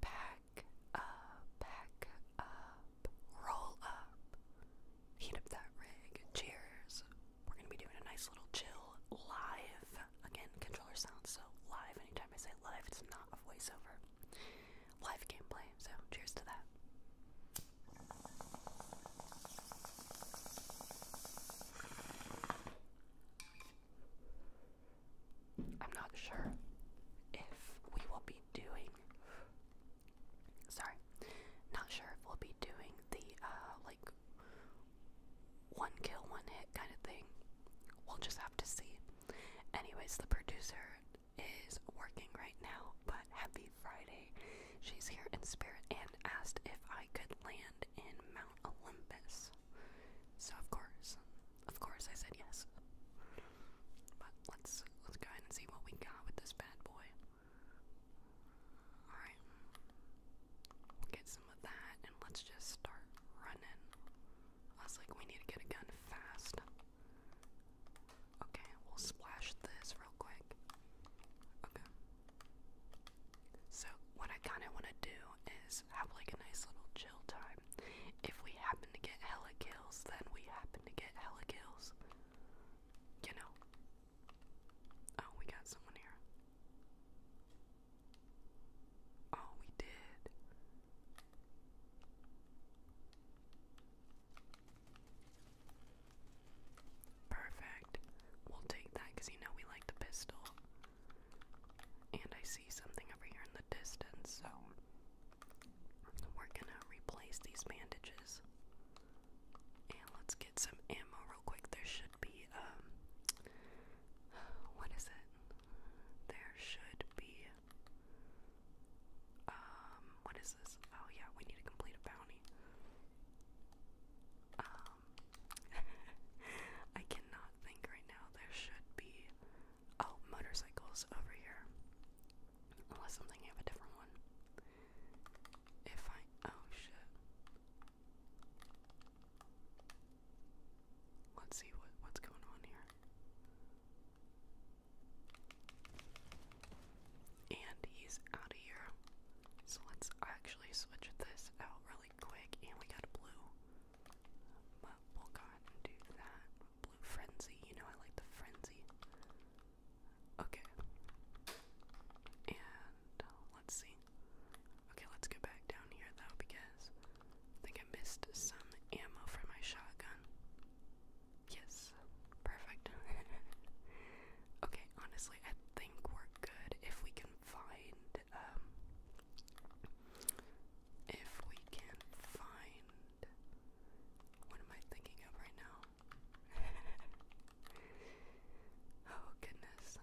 Pack up, pack up, roll up. Heat up that rig. Cheers. We're gonna be doing a nice little chill live. Again, controller sounds so live. Anytime I say live, it's not a voiceover. Live gameplay, so cheers to that. I'm not sure if we will be doing. Sorry, not sure if we'll be doing the uh, like one kill, one hit kind of thing. We'll just have to see. Anyways, the producer is working right now, but happy Friday. She's here in spirit and asked if I could land in Mount Olympus. So, of course, of course I said yes. But let's let's go ahead and see what we got with this bad boy. Alright. We'll get some of that and let's just start running. I was like, we need to get a gun fast. Okay, we'll splash this real quick. Okay. So what I kinda wanna do is have like a nice little chill time if we happen to get hella kills, then we happen to get hella kills. You know. Oh, we got someone here. Oh, we did. Perfect. We'll take that because you know we like the pistol. And I see something over here in the distance, so we're gonna replace these bandages. And let's get some ammo real quick. There should be, um, what is it? There should be, um, what is this? Oh, yeah, we need to complete a bounty. Um, I cannot think right now. There should be oh motorcycles over here, unless I'm a different one. If I oh shit. Let's see what what's going on here. And he's out of here. So let's actually switch this out really quick. And we got blue. But we'll go ahead and do that. Blue Frenzy, you know I like the Frenzy. Okay. And uh, let's see. Okay, let's go back down here though because I think I missed some ammo for my shotgun. Yes, perfect. okay, honestly, I think we're good if we can find um, if we can find what am I thinking of right now? oh goodness.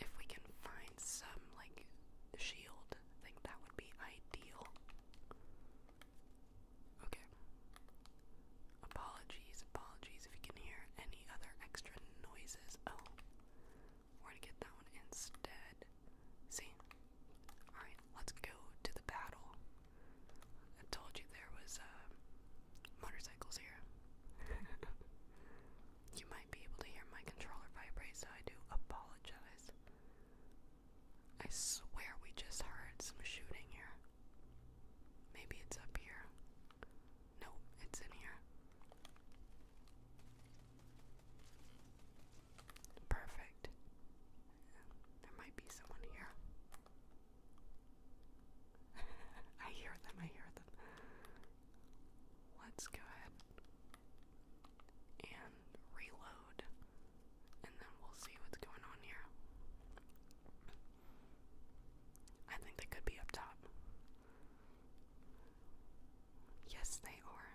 If we can find some like shield, I think that would be ideal. Okay. Apologies, apologies if you can hear any other extra noises. Oh. We're gonna get that one instead. See? Alright, let's go to the battle. I told you there was uh, motorcycles here. you might be able to hear my controller vibrate, so I do apologize. I swear we just heard some shooting here. Maybe it's up here. No, it's in here. Perfect. There might be someone here. I hear them, I hear them. Let's go ahead and reload, and then we'll see what's going on here. I think they could be up top. Yes, they are.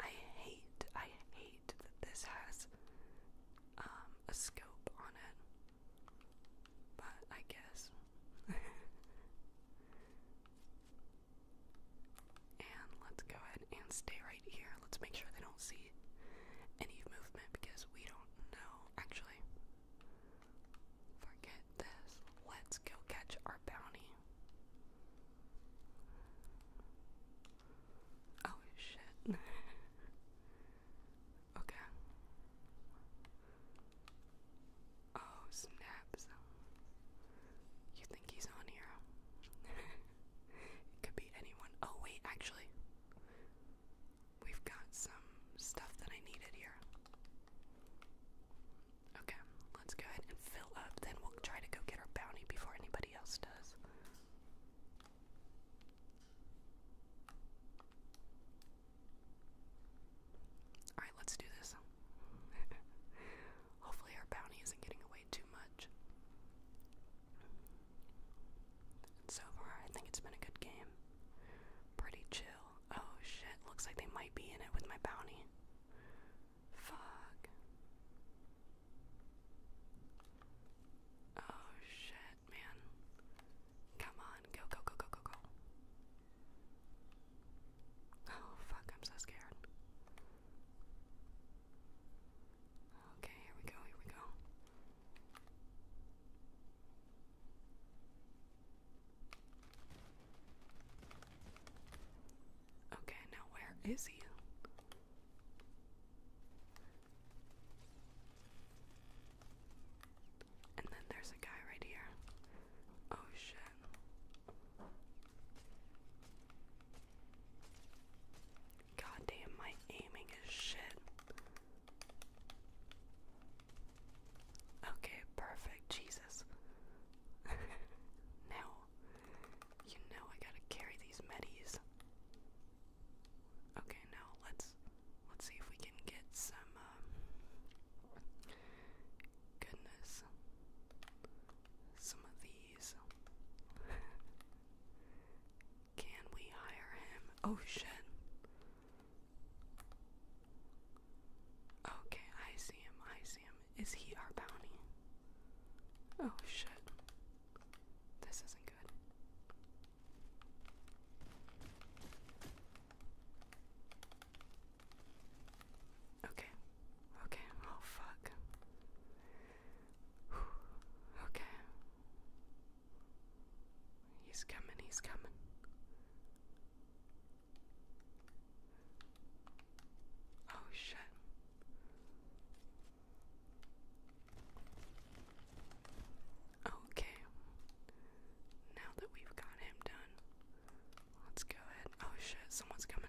I hate, I hate that this has um, a scope on it. But I guess. And let's go ahead and stay right here. Let's make sure they don't see any movement because we don't know. Actually, forget this. Let's go catch our bounty. Oh shit. okay. Oh, snaps. You think he's on here? it could be anyone. Oh, wait, actually, we've got some stuff that I needed here. Okay, let's go ahead and fill up, then we'll try to go get our bounty before anybody else does. Alright, let's do this. Hopefully, our bounty isn't getting away too much. so far, I think it's been a good game. Pretty chill. Oh shit, looks like they might be in it with my bounty. Fuck. Oh shit, man. Come on, go, go, go, go, go, go. Oh fuck, I'm so scared. Okay, here we go, here we go. Okay, now where is he? And then there's a guy right here. Oh shit. God damn, my aiming is shit. Okay, perfect, Jesus. now, you know I gotta carry these medis. Okay, now let's let's see if we can get some. Um, goodness, some of these. Can we hire him? Oh shit. Okay, I see him. I see him. Is he our bounty? Oh shit. This isn't good. Okay, Okay, oh fuck. Okay. He's coming, he's coming. Oh shit. Okay. Now that we've got him done, Let's go ahead. Oh shit, someone's coming.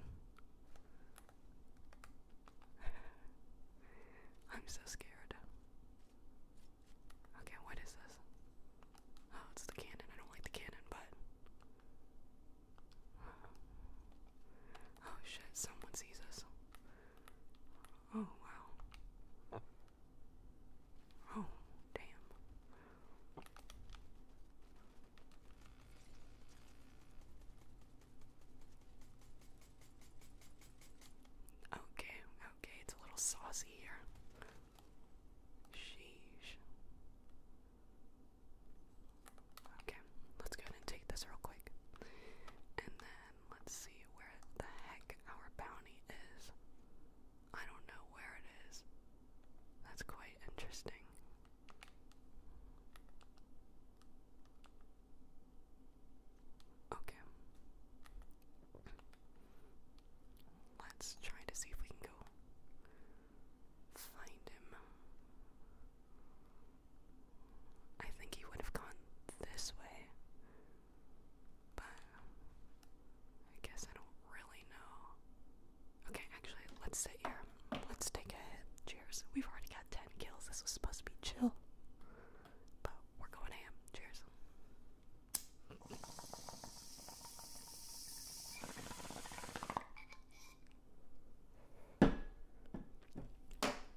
I'm so scared. Okay, what is this? Oh, it's the cannon. I don't like the cannon, but. Oh shit, someone sees us. Oh wow. Oh, damn. Okay, okay, it's a little saucy here. Sheesh. Okay, let's go ahead and take this real quick. And then let's see where the heck our bounty is. I don't know where it is. That's quite interesting. Okay. Let's try to see if we can go find him. I think he would have gone this way, but I guess I don't really know. Okay, actually, let's sit here. Let's take a hit. Cheers. We've already got 10 kills. This was supposed to be chill. But we're going ham. Cheers.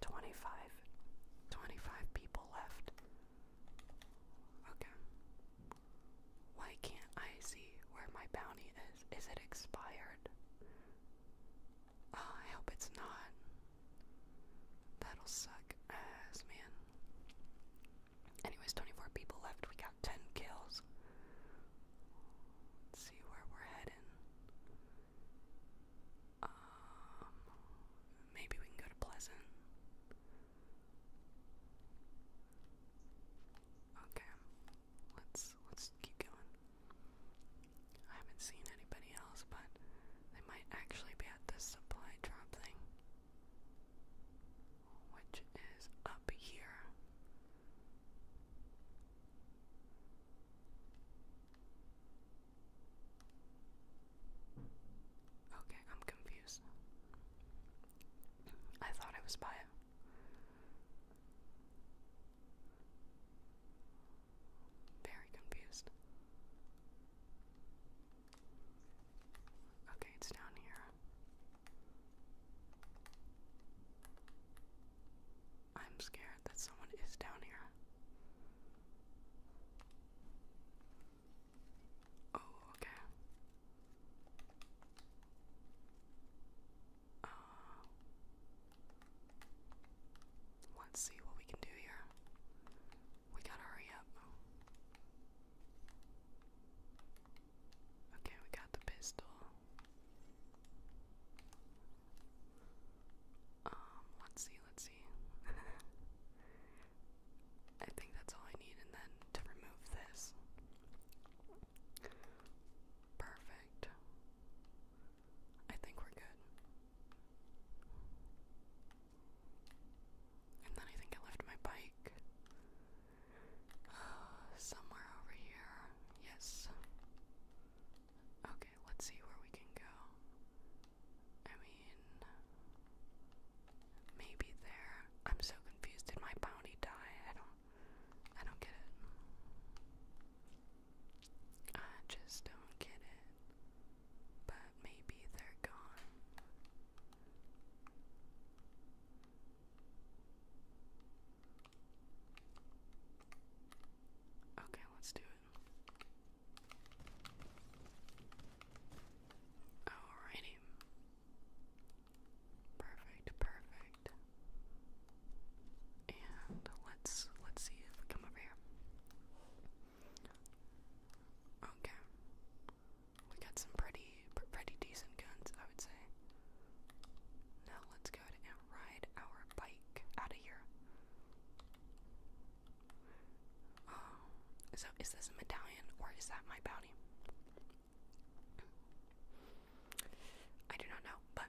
Twenty-five. Twenty-five people left. Okay. Why can't I see where my bounty is? Is it expired? Ah, I hope it's not. That'll suck ass, man. Anyways, 24 people left. We got 10 kills. see where we're heading. Um, maybe we can go to Pleasant. Okay, let's let's keep going. I haven't seen anybody else, but they might actually be at this supply drop thing, which is up here. Okay, I'm confused. I thought I was by it. Very confused. Okay, it's down here. I'm scared that someone is down here. Oh, okay. Uh, let's see what we can do here. We gotta hurry up. Okay, we got the pistol. Um, let's see, let's see. I think that's all I need, and then to remove this. Perfect. I think we're good. And then I think I left my bike uh, somewhere over here. Yes. Okay, let's see where we can go. I mean, Maybe they're. I'm so confused. Did my bounty die? I don't I don't get it. I just don't get it. But maybe they're gone. Okay, let's do it. Alrighty. Perfect, perfect. And let's let's see if we come over here. Okay. We got some pretty pretty decent guns, I would say. Now let's go ahead and ride our bike out of here. Oh, so is this a medallion or is that my bounty? I do not know, but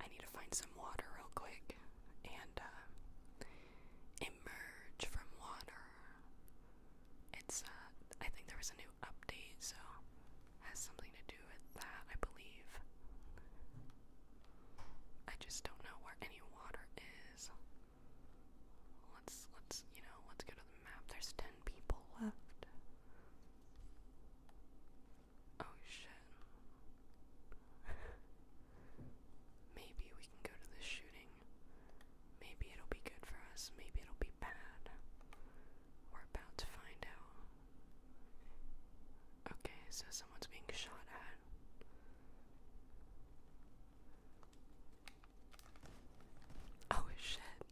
I need to find some water real quick and uh, emerge from water. It's, uh, I think there was a new update, so has something to do with that, I believe. I just don't know where any water is. Let's let's you know let's go to the map. There's ten people left. Oh shit. Maybe we can go to the shooting. Maybe it'll be good for us. Maybe it'll be bad. We're about to find out. Okay, so someone's being shot at. Oh shit.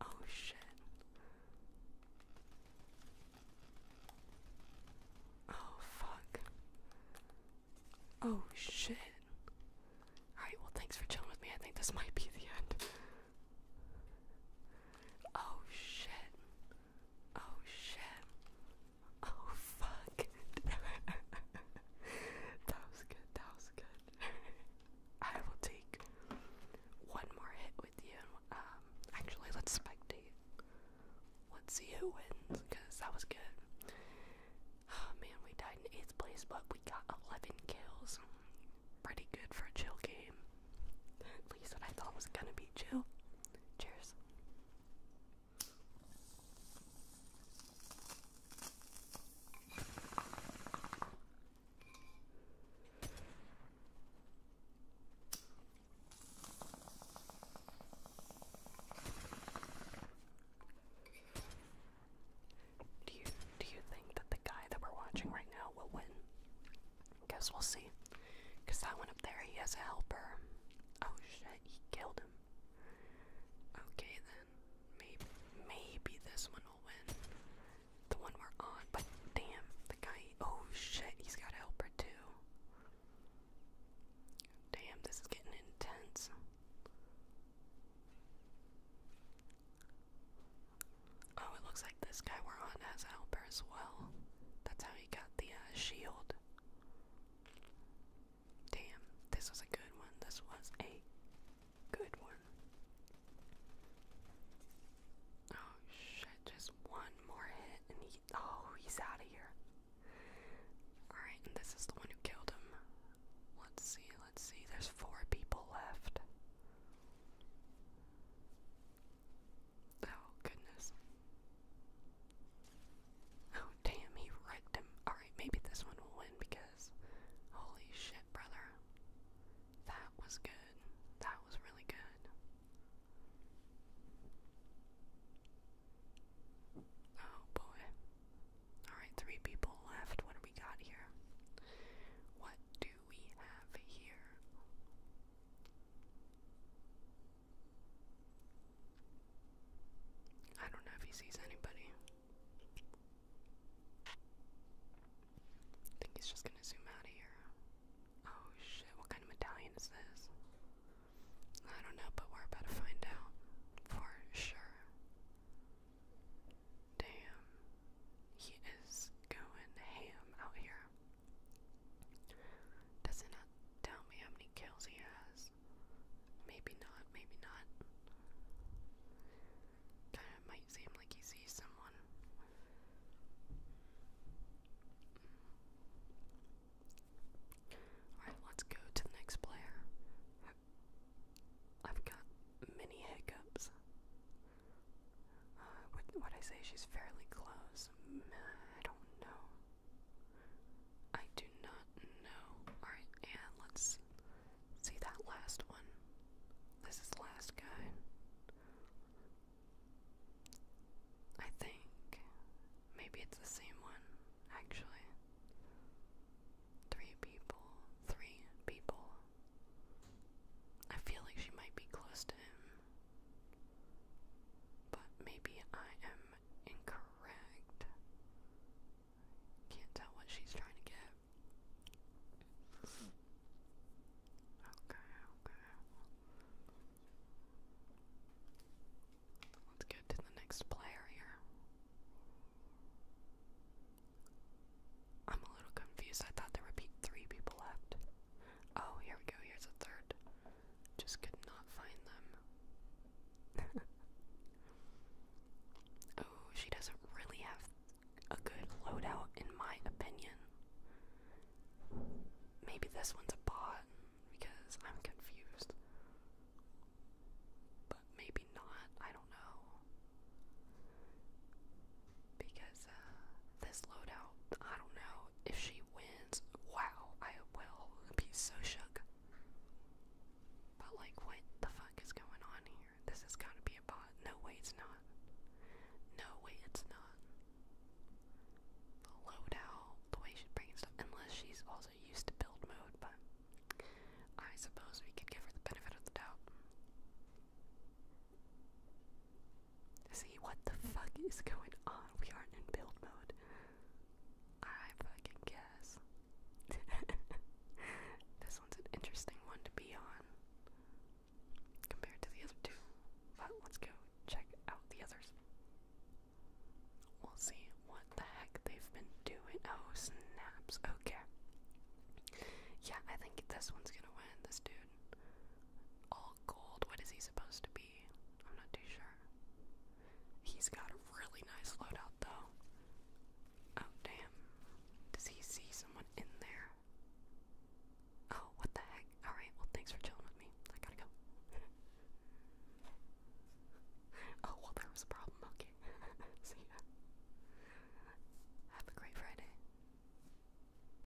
Oh shit. Oh fuck. Oh shit. Alright, well, thanks for chilling with me. I think this might be the end. Oh shit. Oh shit. Oh fuck. that was good. That was good. I will take one more hit with you. Um, actually, let's spectate. Let's see who wins, cause that was good. Oh man, we died in eighth place, but we got 11 kills. Pretty good for a chill game. At least what I thought was gonna be chill. Cheers. Do you do you think that the guy that we're watching right now will win? Guess we'll see. Cause that one up there, he has a helper. Oh shit, he killed him. Okay then, maybe maybe this one will win. The one we're on, but damn, the guy. Oh shit, he's got a helper too. Damn, this is getting intense. Oh, it looks like this guy we're on has a helper as well. That's how he got the uh, shield. Damn, this was a good one. This was a good one. Oh shit, just one more hit and he oh he's out of here. Alright, and this is the one who killed him. Let's see, let's see. There's four people left. Oh goodness. Oh, damn, he wrecked him. Alright, maybe this one will win because. Holy shit, brother. That was good. That was really good. Oh boy. Alright, three people left. What we got here? What do we have here? I don't know if he sees anybody. I think he's just gonna zoom out of here. Oh shit, what kind of medallion is this? I don't know, but we're about to find out for sure. Damn, he is going ham out here. Does not tell me how many kills he has? Maybe not, maybe not. Kinda might seem like he sees someone. Alright, let's go to the next player. I've got many hiccups. Uh, would, I say she's fairly close? Mm, I don't know. I do not know. Alright, and let's see that last one. This is last guy. I think maybe it's the same one, actually. Three people. Three people. I feel like she might be close to him. But maybe I am incorrect. Can't tell what she's trying to get. Okay, okay. Let's get to the next player here. I'm a little confused. I thought there would be three people left. Oh, here we go. Here's a third. Just could not find them. oh, she doesn't really have a good loadout, in my opinion. Maybe this one's a bot because I'm confused. But maybe not, I don't know. Because uh, this loadout, I don't know if she he wins, wow, I will be so shook. But like, what the fuck is going on here? This has got to be a bot. No way it's not. No way it's not. The loadout, the way she's bringing stuff, unless she's also used to build mode, but I suppose we could give her the benefit of the doubt. See, what the fuck is going on? We aren't in build mode. I fucking guess. this one's an interesting one to be on compared to the other two. But let's go check out the others. We'll see what the heck they've been doing. Oh, snaps. Okay. Yeah, I think this one's gonna win. This dude. All gold. What is he supposed to be? I'm not too sure. He's got a really nice loadout though. Oh damn. Does he see someone in there? Oh, what the heck? Alright, well thanks for chilling with me. I gotta go. oh, well there was a problem. Okay. See ya. Have a great Friday.